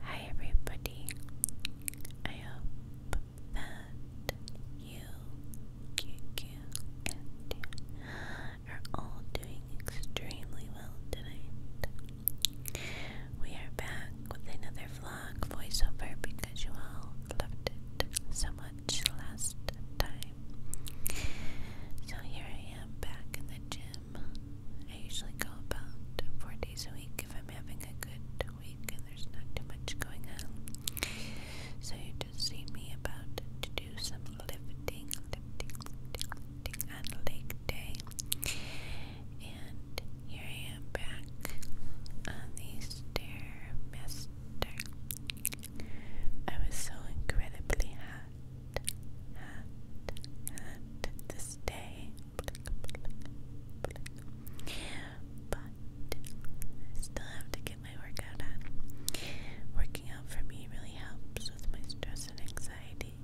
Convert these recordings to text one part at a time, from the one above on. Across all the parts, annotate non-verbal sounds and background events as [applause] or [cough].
Hi, everybody. I hope that you, QQ, and are all doing extremely well tonight. We are back with another vlog voiceover because you all loved it so much last time. So here I am back in the gym I usually go about four days a week if I'm having a good week and there's not too much going on. So you just see me about to do some lifting, lifting, lifting, day. And here I am back on the Stairmaster. I was so incredibly hot hat, this day. But I still have to get my workout on. Working out for me really helps with my stress and anxiety.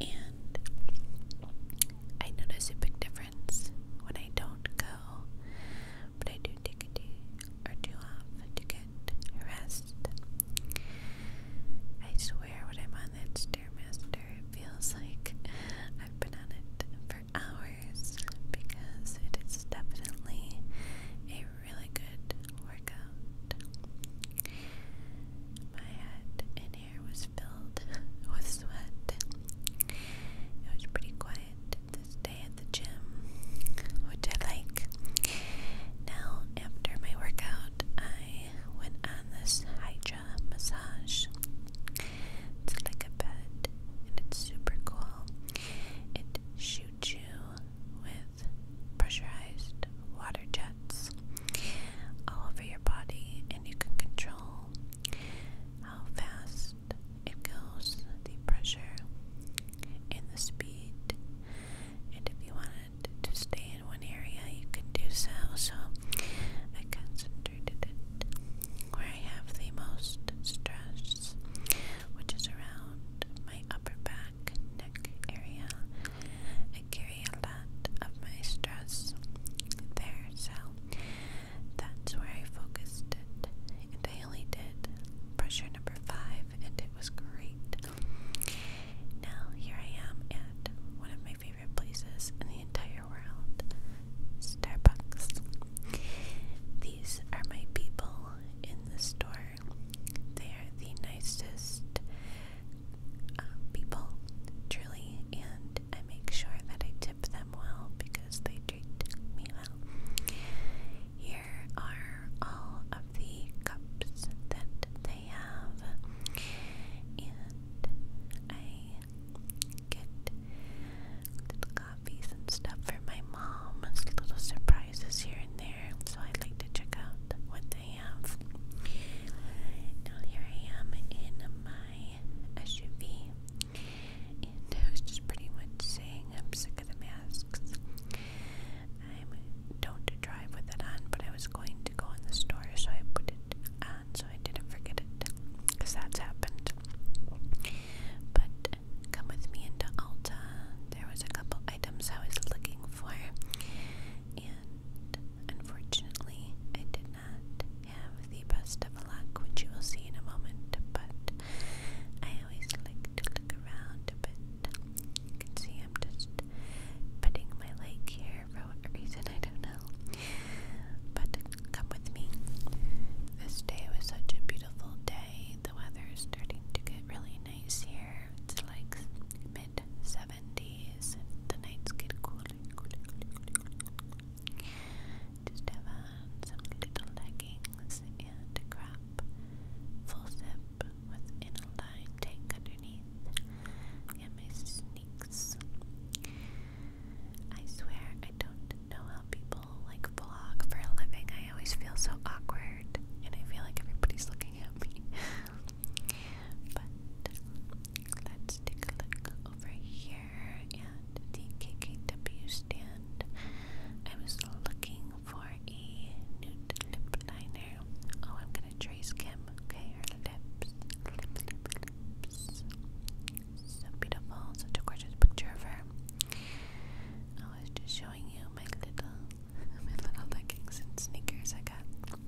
And I notice a big difference when I don't go, but I do take a day or two off to get rest. I swear when I'm on that Stairmaster, it feels like I've been on it for hours because it is definitely a really good workout. My head and hair was filled [laughs] with sweat. It was pretty quiet it this at the gym, which I like. Now, after my workout, I went on this Hydra massage. It's like a bed, and it's super cool. It shoots you with pressurized water jets all over your body, and you can control how fast it kills the pressure and the speed. And if you wanted to stay in one area, you could do so. So I concentrated it where I have the most stress, which is around my upper back, neck area. I carry a lot of my stress there, so that's where I focused it. And I only did pressure number five, and it was great. Now, here I am at one of my favorite places in the entire world Starbucks. These are my people in the store, they are the nicest. Uh, people, truly, and I make sure that I tip them well because they treat me well. Here are all of the cups that they have, and I get little coffees and stuff for my mom, little surprises here and there, so I like to check out what they have. Now, here I am in my SUV and I was just pretty much saying, I'm sick of the masks. I don't drive with it on, but I was going to go in the store, so I put it on so I didn't forget it. Because that's happened. But come with me into Alta. There was a couple items I was looking for. And unfortunately, I did not have the best of luck, which you will see in a moment, but I always like to look around a bit. You can see I'm just petting my leg here for what reason, I don't know. But come with me. This day was such a beautiful day. The weather is starting to get really nice here. It's like mid 70s, and the nights get cooler, cooler, just have some little leggings and a crop, full zip with inner line underneath, and my sneaks. I swear I don't know how people like vlog for a living. I always feel so awkward, and I feel like everybody's looking at me. [laughs] but let's take a look over here here at the KKW stand. I was looking for a nude lip liner. Oh, I'm gonna trace Kim, okay? Her lips. Lips, lips, lips. So beautiful, such a gorgeous picture of her. I was just showing you my little [laughs] my little leggings and sneakers I got.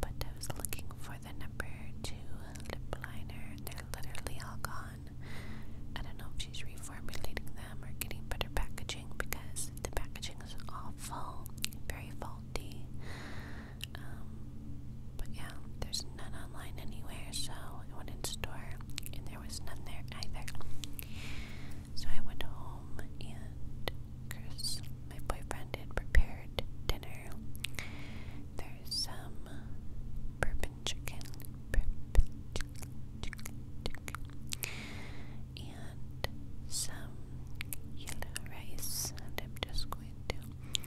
But I was looking for the number two lip liner. They're literally all gone. I don't know if she's reformulating them or getting better packaging because the packaging is all full, very faulty. Um, but yeah, there's none online anywhere, so I went in store and there was none there either. So I went home and cursed my boyfriend had prepared dinner. There's some bourbon chicken, chicken, and some yellow rice, and I'm just going to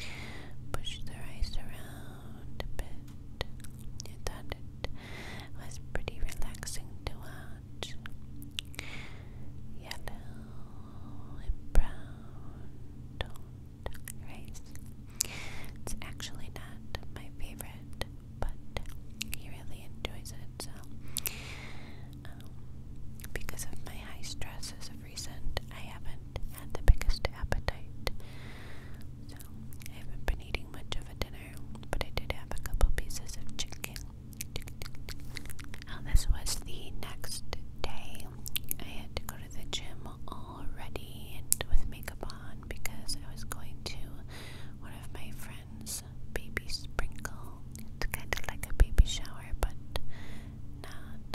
push the rice around a bit. I thought it was pretty relaxing to watch. Yellow and brown, rice. It's actually not my favorite, but he really enjoys it. So, um, because of my high stress of recent, I haven't had the biggest appetite. So, I haven't been eating much of a dinner, but I did have a couple pieces of chicken. Now, oh, this was the next day. I had to go to the gym already and with makeup on because I was going to one of my friends' baby sprinkle. It's kind of like a baby shower, but not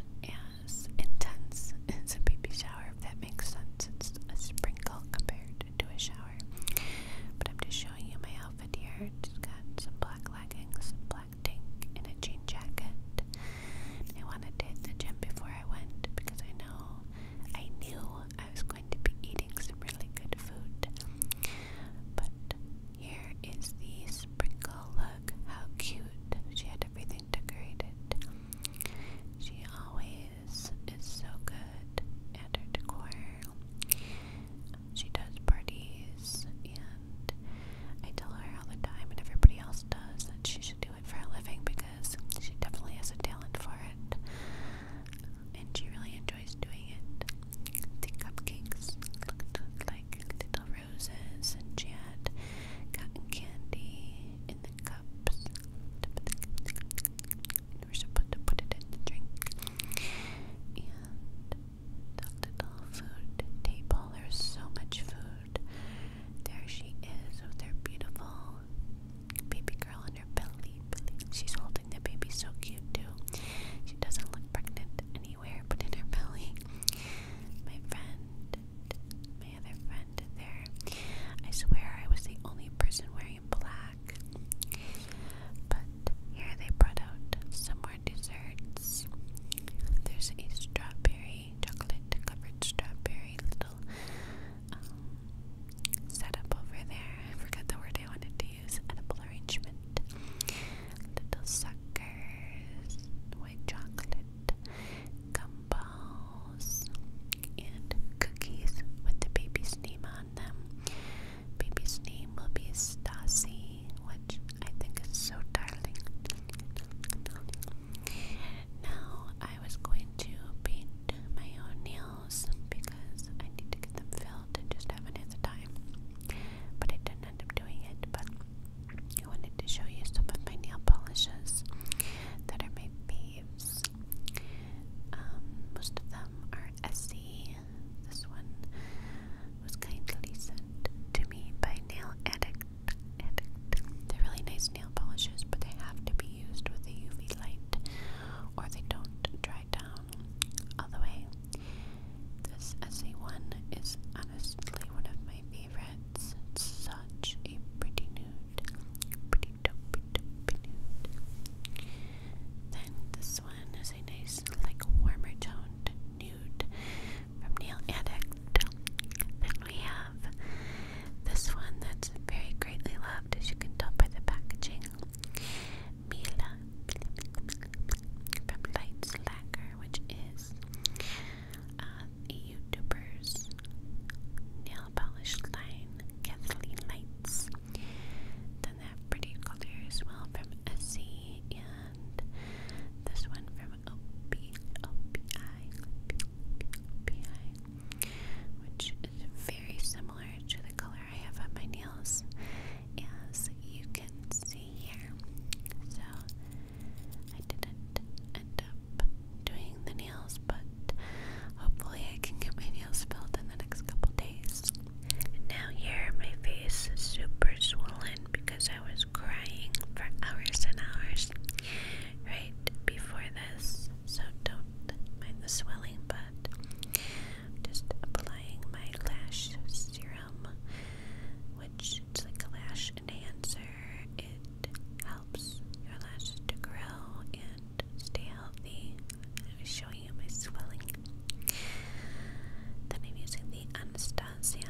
as intense as a baby shower, if that makes sense. It's a sprinkle compared to a shower. But I'm just showing you my outfit here. It's got some black leggings, black black tank and a jean jacket. I wanted to hit the gym before I went because I know I knew I was going to be eating some really good food. But here is the sprinkle look. How cute. She had everything decorated. She always is so good at her decor. She does parties Yeah and I tell her all the time, and everybody else does, that she should do it for a living because she definitely has a talent for it, and she really enjoys doing it. The cupcakes looked like little roses, and she had cotton candy in the cups. And we supposed to put it in the drink. Dr. Doll food table. There's so much food. There she is with her beautiful baby girl in her belly. She's holding the baby so cute too. She doesn't look pregnant anywhere but in her belly. My friend, my other friend there. I swear I was the only person wearing black. But here they brought out some desserts. There's a strawberry, chocolate covered strawberry little um, setup over there. I forgot the word I wanted to use. Edible arrangement. Little suckers, white chocolate, gumballs, and cookies with the baby's name on them. Baby's name will be Stassi which I think is so darling. Now I was going to paint my own nails because I need to get them filled and just haven't had the time. But I didn't end up doing it. But I wanted to show you some of my nail polishes that are my faves. Um, most of them are Essie. This one was kindly sent to me by Nail Addict. They're really nice nail polishes, but they have to be used with the UV light or they don't dry down all the way. This SE1 is honestly one of my favorites. It's such a pretty nude. Pretty dopey dopey nude. Then this this one is a nice, like, warmer toned nude from Nail Addict. Then we have this one that's very greatly loved, as you can tell by the packaging. Mila from Light Slacker, which is uh, a YouTuber's nail polish line, Kathleen Lights. Then they pretty color as well from Essie this one from OPI, which is very similar to the color I have on my nails, as you can see here. So I didn't end up doing the nails, but hopefully I can get my nails filled in the next couple days. Now here my face is super swollen because I was crying for hours and hours right before this. So don't mind the swelling, but I'm just applying my lash serum, which it's like a lash enhancer. It helps your lashes to grow and stay healthy. I am showing you my swelling then I'm using the Anastasia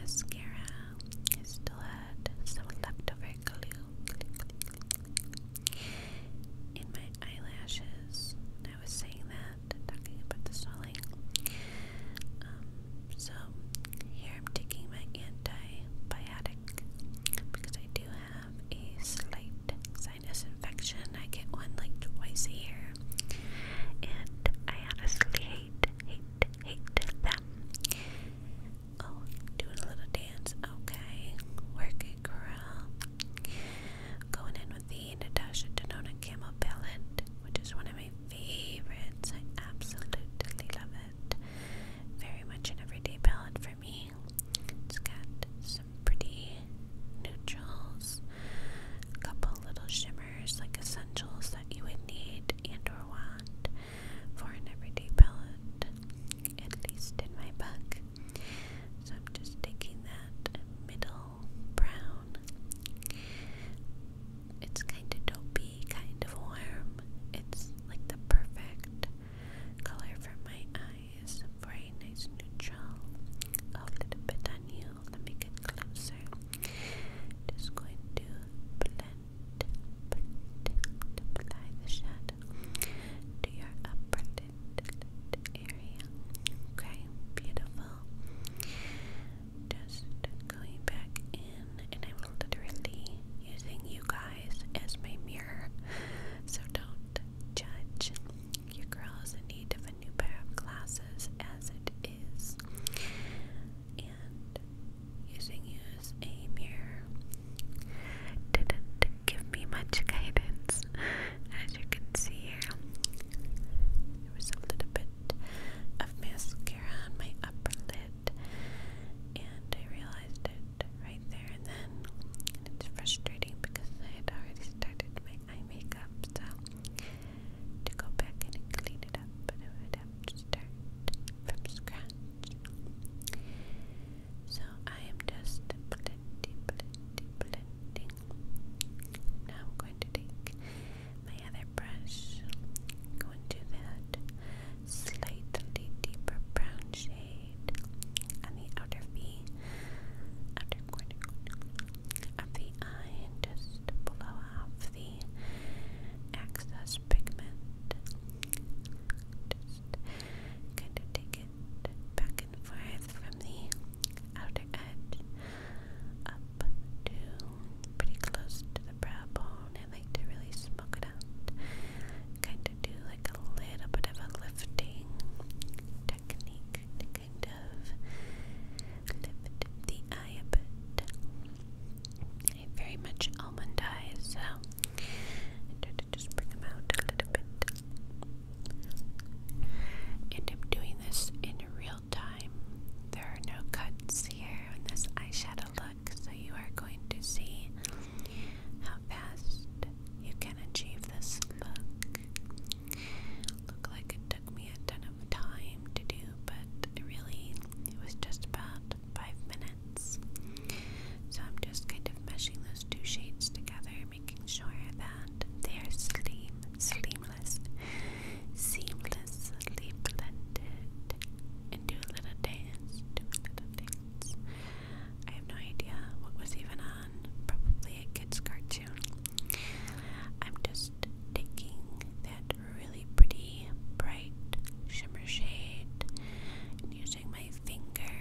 mascara. I still had some leftover glue, glue, in my eyelashes. I was saying that, talking about the swelling. Um, so here I'm taking my antibiotic because I do have a slight sinus infection. I get one like twice a year. And I honestly hate, hate, hate them. Oh, doing a little dance. Okay. Work it, girl. Going in with the Natasha Denona Camel Palette, which is one of my favorites. absolutely love it. Very much an everyday palette for me. It's got some pretty neutrals, a couple little shimmers like essentials that you would need and or want for an everyday palette, at least in my book. So I'm just taking that middle brown. It's kind of dopey, kind of warm. It's like the perfect color for my eyes for a nice neutral. A little bit on you. Let me get closer. Just going to blend, blend, apply the shadow to your upper lid area. Okay, beautiful. Just going back in, and I'm literally using you guys as my mirror, so don't judge. Your girls need of new pair of glasses as it is. And using use a mirror didn't give me much guidance. As you can see here, there was a little bit of mascara on my upper lid, and I realized it right there and then. And it's frustrating because I had already started my eye makeup, so to go back and clean it up, but I would have to start from scratch. So I am just blending, blending, blending. Now I'm going to take my other brush, go into that slightly deeper brown shade on the outer V, of the eye just blow off the excess pigment. Just kind of take it back and forth from the outer edge up to pretty close to the brow bone. I like to really smoke it out. Kind of do like a little bit of a lifting technique of lift the eye a I very much almond eye, so just bring them out a little bit. And I'm doing this in real time. There are no cuts here in this eyeshadow look, so you are going to see how fast you can achieve this look. Looked like it took me a ton of time to do, but really, it was just about five minutes. So I'm just kind of meshing those two shades together, making sure that they are seamless, seamless, seamlessly blended, and do a little dance, do a little dance. I have no idea what was even on. Probably a kid's cartoon. I'm just taking that really pretty bright shimmer shade using my finger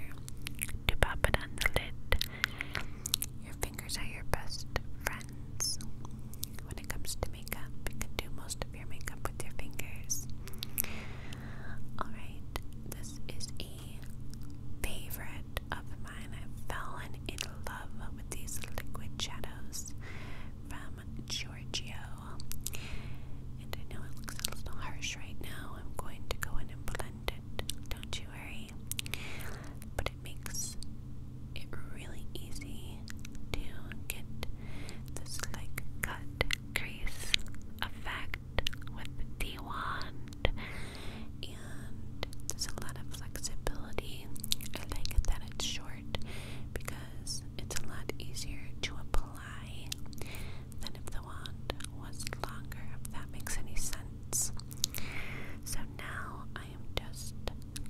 to pop it on the lid. Your fingers are your best friends. When it comes to makeup, you can do most of your makeup with your fingers. Alright, this is a favorite of mine, i fell in love with these liquid shadows from Giorgio. And I know it looks a little harsh right now. I'm going to go in and blend it. Don't you worry. But it makes it really easy to get this like cut crease effect with the one and there's a lot of flexibility. I like that it's short because it's a lot easier to apply than if the wand was longer, if that makes any sense. So now I am just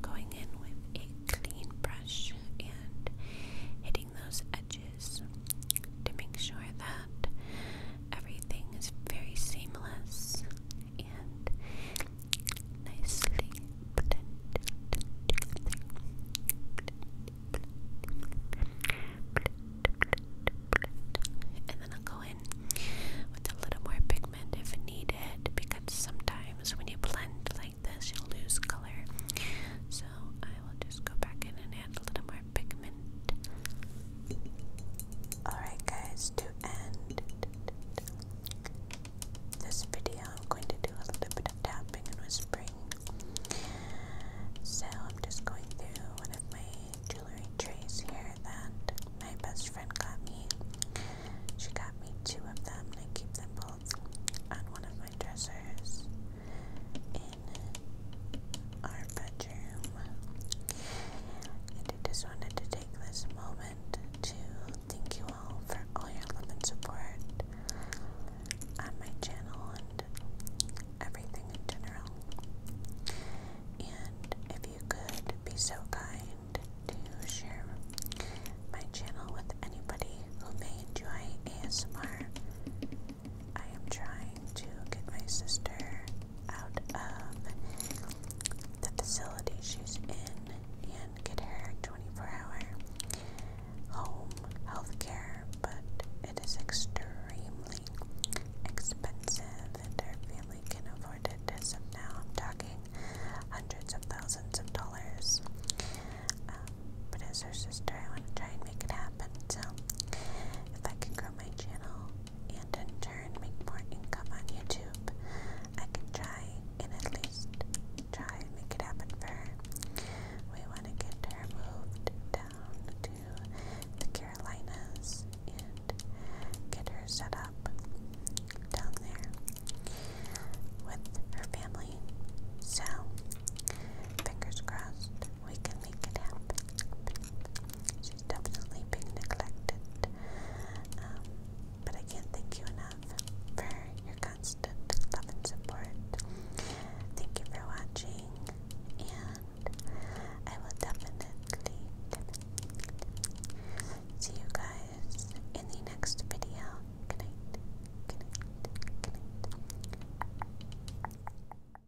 going in with a clean brush and hitting those edges to make sure that Everything is very seamless and nicely blended And then I'll go in with a little more pigment if needed because sometimes when you blend like this, you lose color. So I will just go back in and add a little Alright, guys, to end this video, I'm going to do a little bit of tapping and whispering. So, I'm just going through one of my jewelry trays here that my best friend got me. She got me two of them, and I keep them both on one of my dressers in our bedroom. I just wanted to take this moment to thank you all for all your love and support on my channel and everything in general. And if you could be so kind to share my channel with anybody who may enjoy ASMR I am trying to get my sister out of the facility she's in and get her 24 hour home health care, but it is extremely expensive and her family can not afford it as now. I'm talking hundreds of thousands of dollars. Um, but as her sister, I want to try and make it happen. So if I can grow my channel and in turn make more income on YouTube. I can try and at least try and make it happen for her. We want to get her moved down to the Carolinas and get her set up down there with her family. So, fingers crossed, we can make it happen. She's definitely being neglected. Um, but I can't thank you enough for your constant love and support. Thank you for watching, and I will definitely see you guys in the next video. Good night. Good night. Good night.